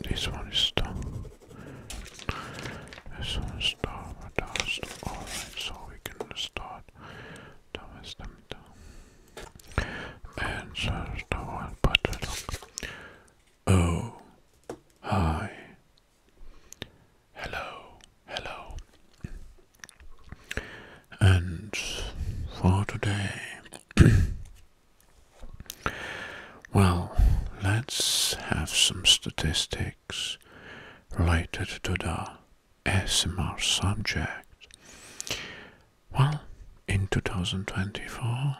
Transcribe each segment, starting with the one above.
This one is star. This one is star. Alright, so we can start. Thomas them And search one button. Oh. Hi. Hello. Hello. And for today, Well, let's have some statistics related to the ASMR subject. Well, in 2024,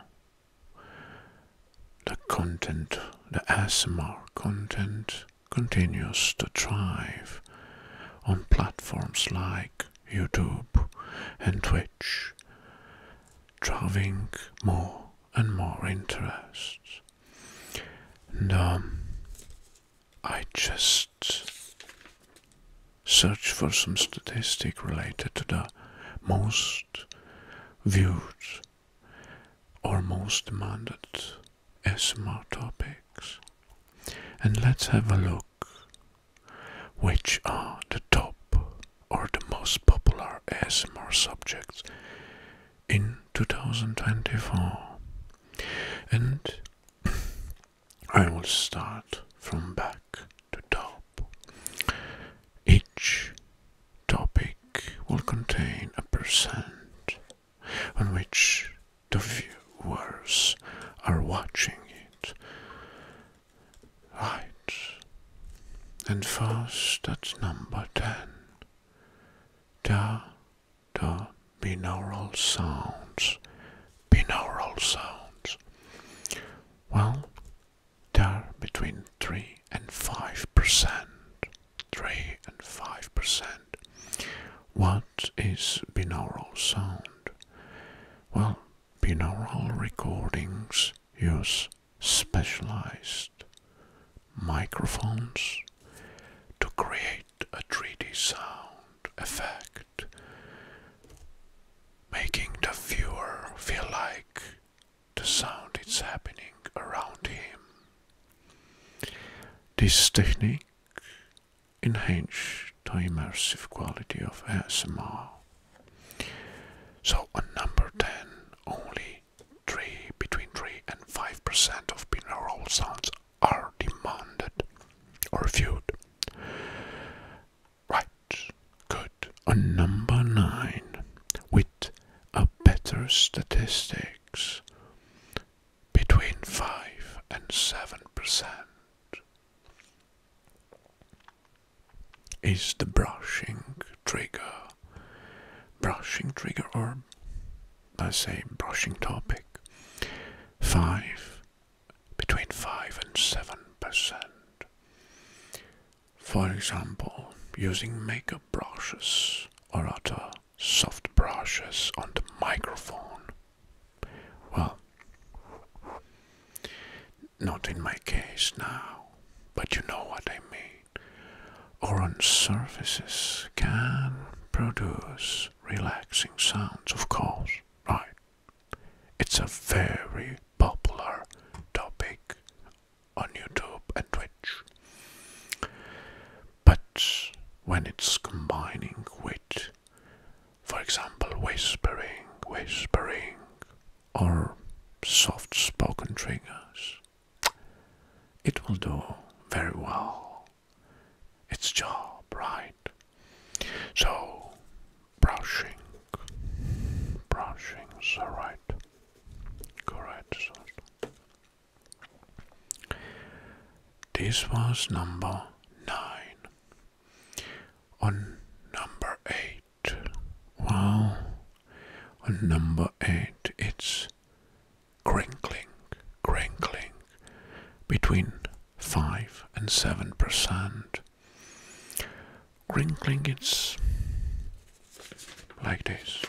the content, the ASMR content, continues to thrive on platforms like YouTube and Twitch driving more and more interest. Now, um, I just search for some statistic related to the most viewed or most demanded SMR topics. And let's have a look which are the top or the most popular ASMR subjects in 2024? And I will start from back to top. Each topic will contain a percent on which the viewers are watching it right and fast at number ten. Da, da, binaural sounds, binaural sounds. Well, there are between 3 and 5%. 3 and 5%. What is binaural sound? Well, binaural recordings use specialized microphones to create a 3D sound effect, making the viewer feel like the sound is happening around him. This technique enhances the immersive quality of ASMR so on number 10, only 3, between 3 and 5% of binaural sounds are demanded or viewed. Right, good. On number 9, with a better statistics, between 5 and 7% is the brushing trigger. Brushing trigger, or I say brushing topic. 5, between 5 and 7%. For example, using makeup brushes or other soft brushes on the microphone. Well, not in my case now, but you know what I mean. Or on surfaces can produce relaxing sounds, of course, right? It's a very popular topic on YouTube and Twitch. But when it's combining with, for example, whispering, whispering, or soft spoken triggers. It will do very well its job, right? So, brushing, brushing is right, correct. This was number nine. On number eight eight. On number eight, it's crinkling, crinkling between 5 and 7%. Crinkling, it's like this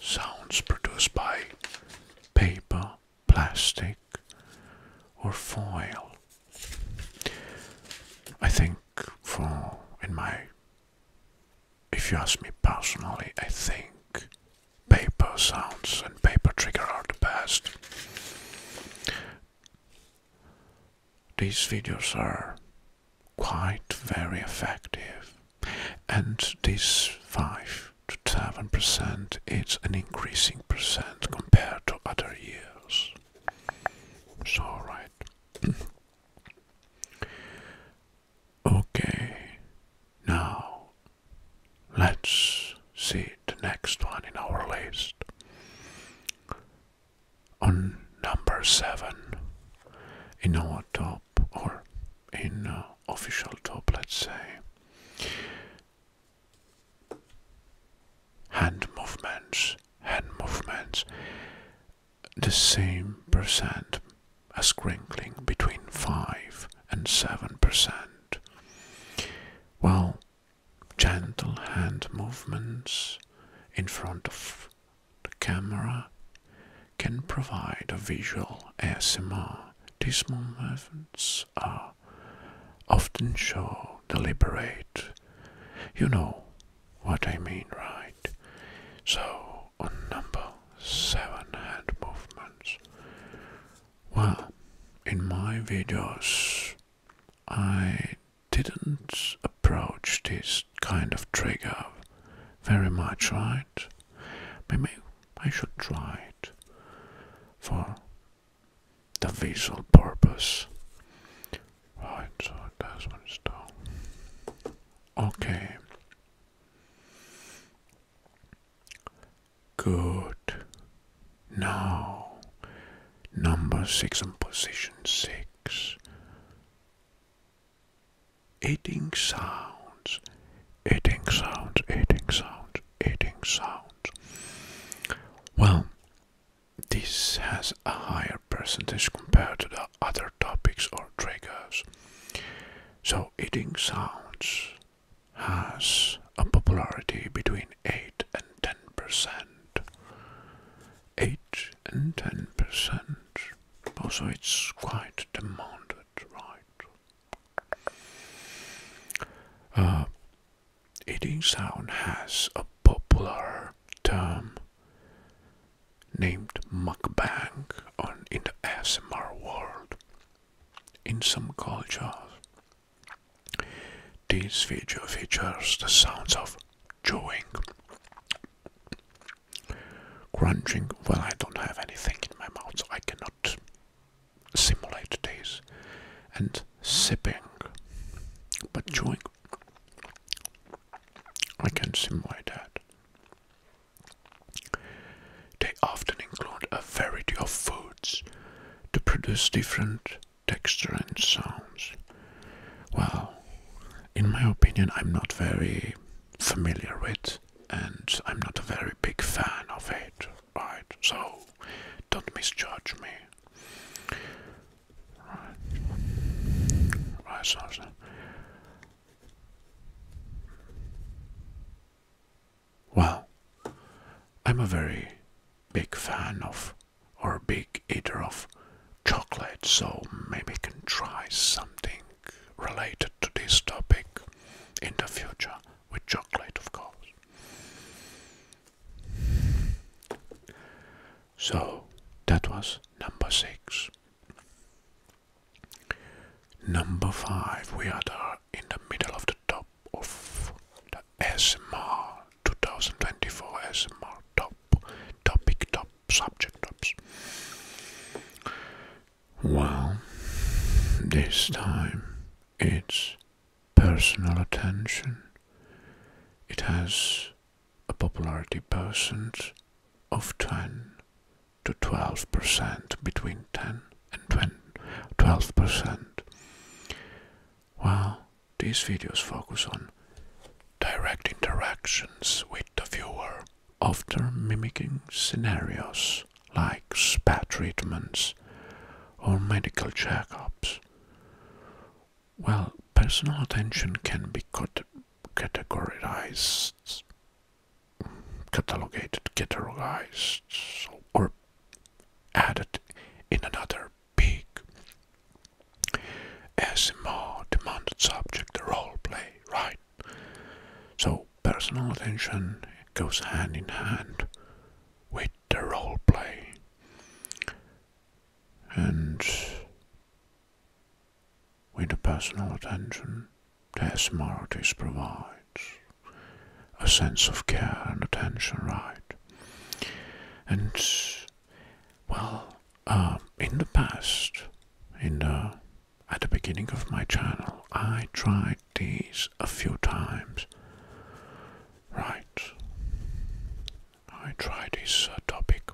sounds produced by paper, plastic, or foil. I think for, in my, if you ask me personally, I think paper sounds and paper trigger are the best. These videos are quite very effective, and this 5 to 7 percent is an increasing percent compared to other years. So, right. Okay, now let's see the next one in our list. On number seven, in our top, or in uh, official top, let's say, hand movements, hand movements the same percent as crinkling between 5 and 7%. While gentle hand movements in front of the camera can provide a visual ASMR. These movements are often show deliberate, you know, what I mean, right? So, on number seven hand movements. Well, in my videos, I didn't approach this kind of trigger very much, right? Maybe I should try it for the visual purpose. Right, so that one is down. Okay. Good. Now, number six on position six. Eating sounds, eating sounds, eating sounds, eating sounds. Well, this has a higher percentage compared to the other topics or triggers. So, eating sounds has a popularity between 8 and 10 percent. 8 and 10 percent. Also, it's quite demanded, right? Uh, eating sound has a popular term named mukbang on in the ASMR world. In some cultures, this video features the sounds of chewing, crunching. Well, I don't have anything in my mouth, so I cannot simulate this, and sipping, but chewing. I can simulate that. They often include a variety of foods to produce different texture and sounds. Well, in my opinion, I'm not very familiar with and I'm not a very big fan of it, right? So don't misjudge me. Right. Right, so, Well, I'm a very big fan of, or big eater of, chocolate, so maybe can try something related to this topic in the future with chocolate, of course. So that was number six. Number five, we are the, in the middle of the top of the SMR 2024 SMR top topic, top subject tops. Well, this time it's personal attention. It has a popularity percent of 10 to 12%, between 10 and 12%. Well, these videos focus on direct interactions with the viewer often mimicking scenarios like spa treatments or medical checkups well, personal attention can be categorized, catalogued, categorized, or added in another big as more demanded subject role play, right? So personal attention goes hand in hand with the role play. And with the personal attention that ASMR provides, a sense of care and attention, right? And, well, um, in the past, in the at the beginning of my channel, I tried these a few times, right? I try this uh, topic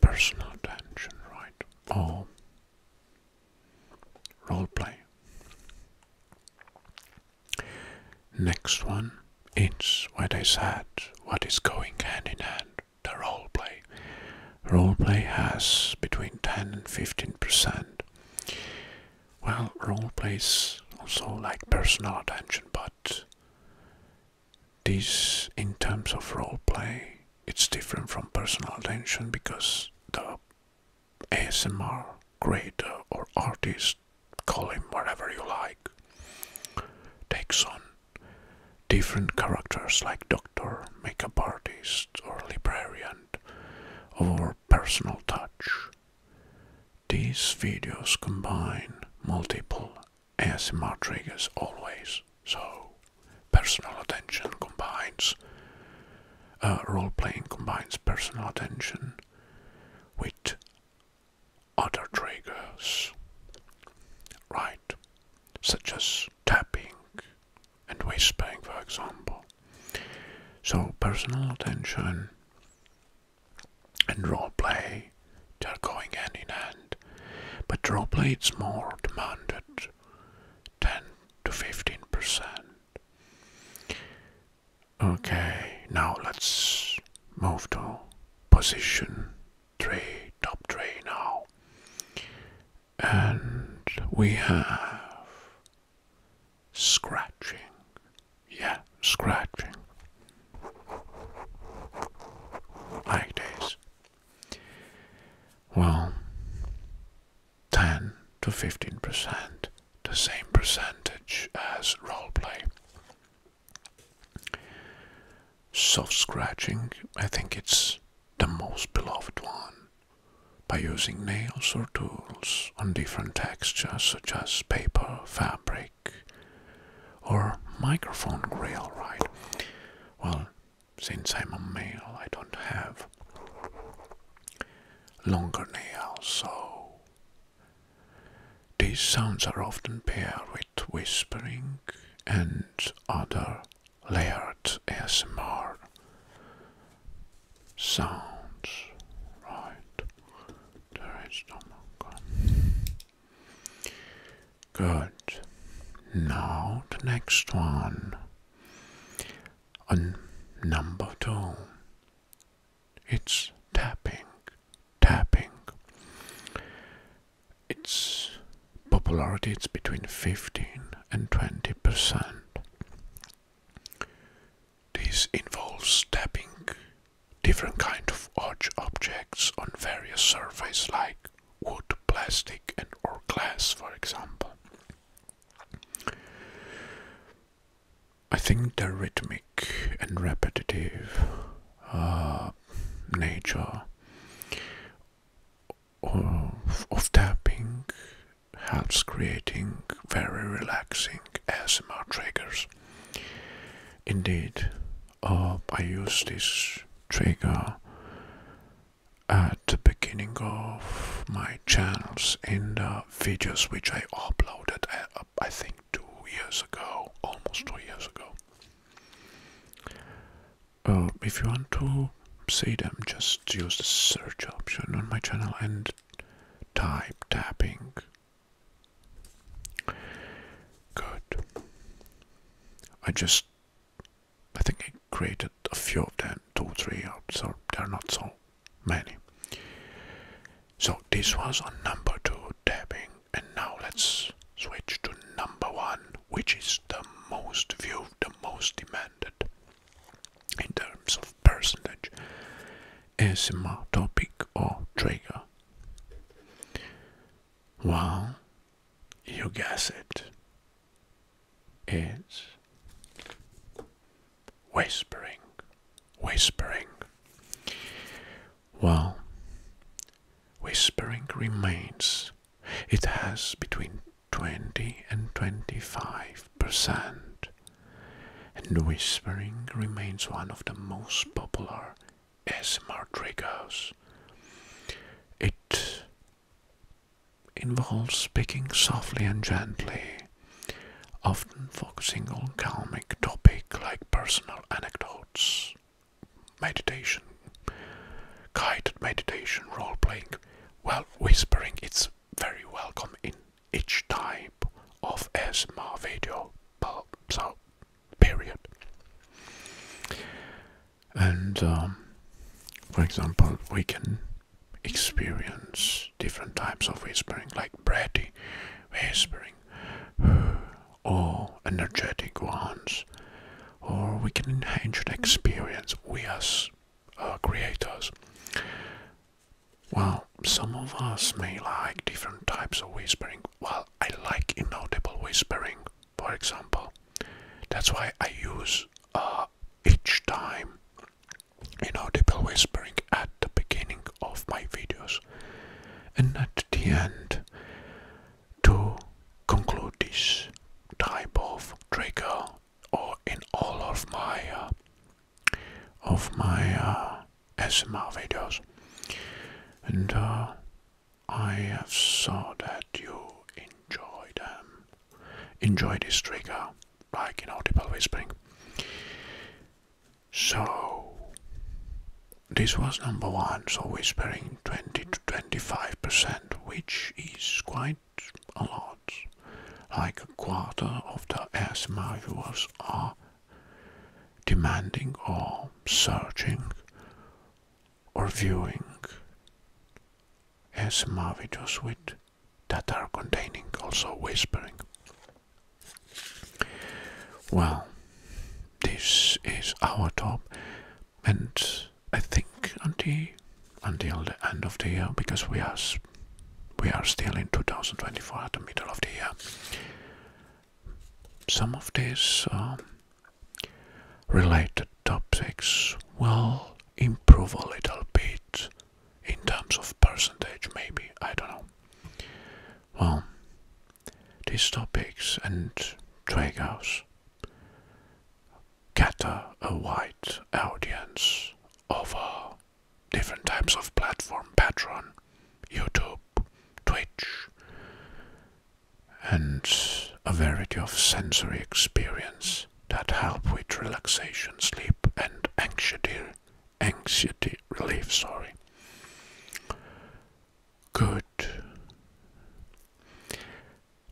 personal attention, right? Or role play. Next one it's what I said, what is going hand in hand, the role play. Role play has between 10 and 15%. Well, role plays also like personal attention, but this in terms of role play it's different from personal attention because the asmr creator or artist call him whatever you like takes on different characters like doctor makeup artist or librarian or personal touch these videos combine multiple ASMR triggers always, so personal attention combines, uh, role playing combines personal attention with other triggers, right? Such as tapping and whispering, for example. So, personal attention and role play they are going hand in hand, but draw play more demanded, 10 to 15 percent. Okay, now let's move to position 3, top 3 now. And we have scratching. Yeah, scratching. Like this. Well, 10 to 15%, the same percentage as role play. Soft scratching, I think it's the most beloved one. By using nails or tools on different textures such as paper, fabric, or microphone grill, right? Well, since I'm a male, I don't have longer nails, so these sounds are often paired with whispering and other layered ASMR sounds. Right, there is no more. Good. Now the next one. On number two, it's tapping. Tapping. Its popularity is between 15 and 20 percent. This involves tapping different kind of objects on various surfaces like wood, plastic and or glass for example. I think the rhythmic and repetitive uh, nature of, of tapping helps creating very relaxing ASMR triggers. Indeed, up I use this trigger at the beginning of my channels in the videos which I uploaded uh, I think two years ago almost two years ago um, if you want to see them just use the search option on my channel and type tapping good I just I think I created a few of them, two, three or so they're not so many. So this was on number two tabbing, and now let's switch to number one, which is the most viewed, the most demanded in terms of percentage ASMR topic or trigger. Wow, you guess it. Is whispering, whispering. Well, whispering remains. It has between 20 and 25 percent. And whispering remains one of the most popular ASMR triggers. It involves speaking softly and gently, often focusing on calmic topic like personal anecdotes, meditation, guided meditation, role playing. while whispering it's very welcome in each type of ASMR video. So, period and um, for example we can experience different types of whispering like breathy whispering or energetic ones or we can enhance the experience we as uh, creators well some of us may like different types of whispering well i like inaudible whispering for example. That's why I use uh, each time inaudible whispering at the beginning of my videos and at the end to conclude this type of trigger or in all of my uh, of my uh, SMR videos and uh, I have saw that you enjoy them. Enjoy this trigger, like in audible whispering. So, this was number one, so whispering 20 to 25%, which is quite a lot. Like a quarter of the ASMR viewers are demanding or searching or viewing ASMR videos with that are containing also whispering. Well, this is our top, and I think until until the end of the year, because we are we are still in 2024 at the middle of the year. Some of these um, related topics will improve a little bit in terms of percentage, maybe. I don't know. Well, these topics and dragos cater a wide audience of different types of platform patreon youtube twitch and a variety of sensory experience that help with relaxation, sleep, and anxiety, anxiety relief. Sorry. Good.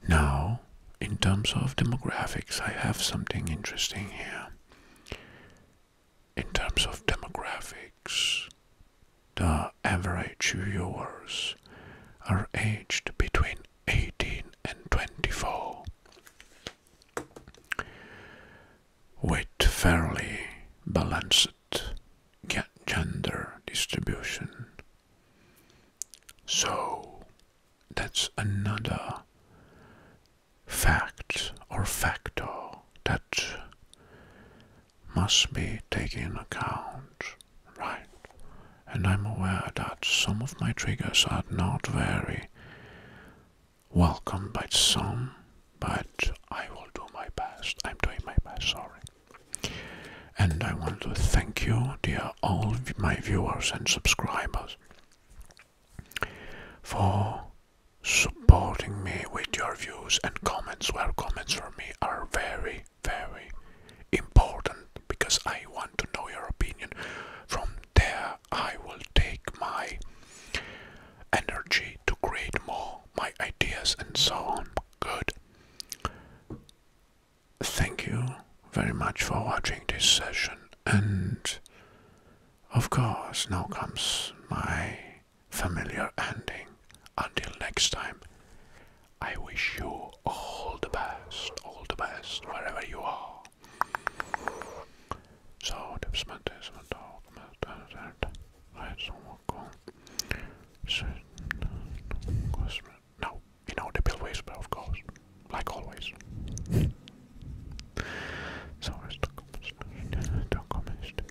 Now, in terms of demographics, I have something interesting here. In terms of demographics, the average viewers are aged between 18 and 24, with fairly balanced gender distribution. So that's another fact or factor that must be taken account, right? And I'm aware that some of my triggers are not very welcome by some, but I will do my best. I'm doing my best, sorry. And I want to thank you, dear all my viewers and subscribers, for supporting me with your views and comments, where comments from me are very very important because I want to know your opinion. From there, I will take my energy to create more, my ideas, and so on. Good. Thank you very much for watching this session, and of course, now comes my familiar ending. Until next time, I wish you all the best, all the best, wherever you are. So, det smälter som en dag med döden, rädd som årgång. No, you know the Bill Whisper, of course, like always. So, it's the communist, the communist.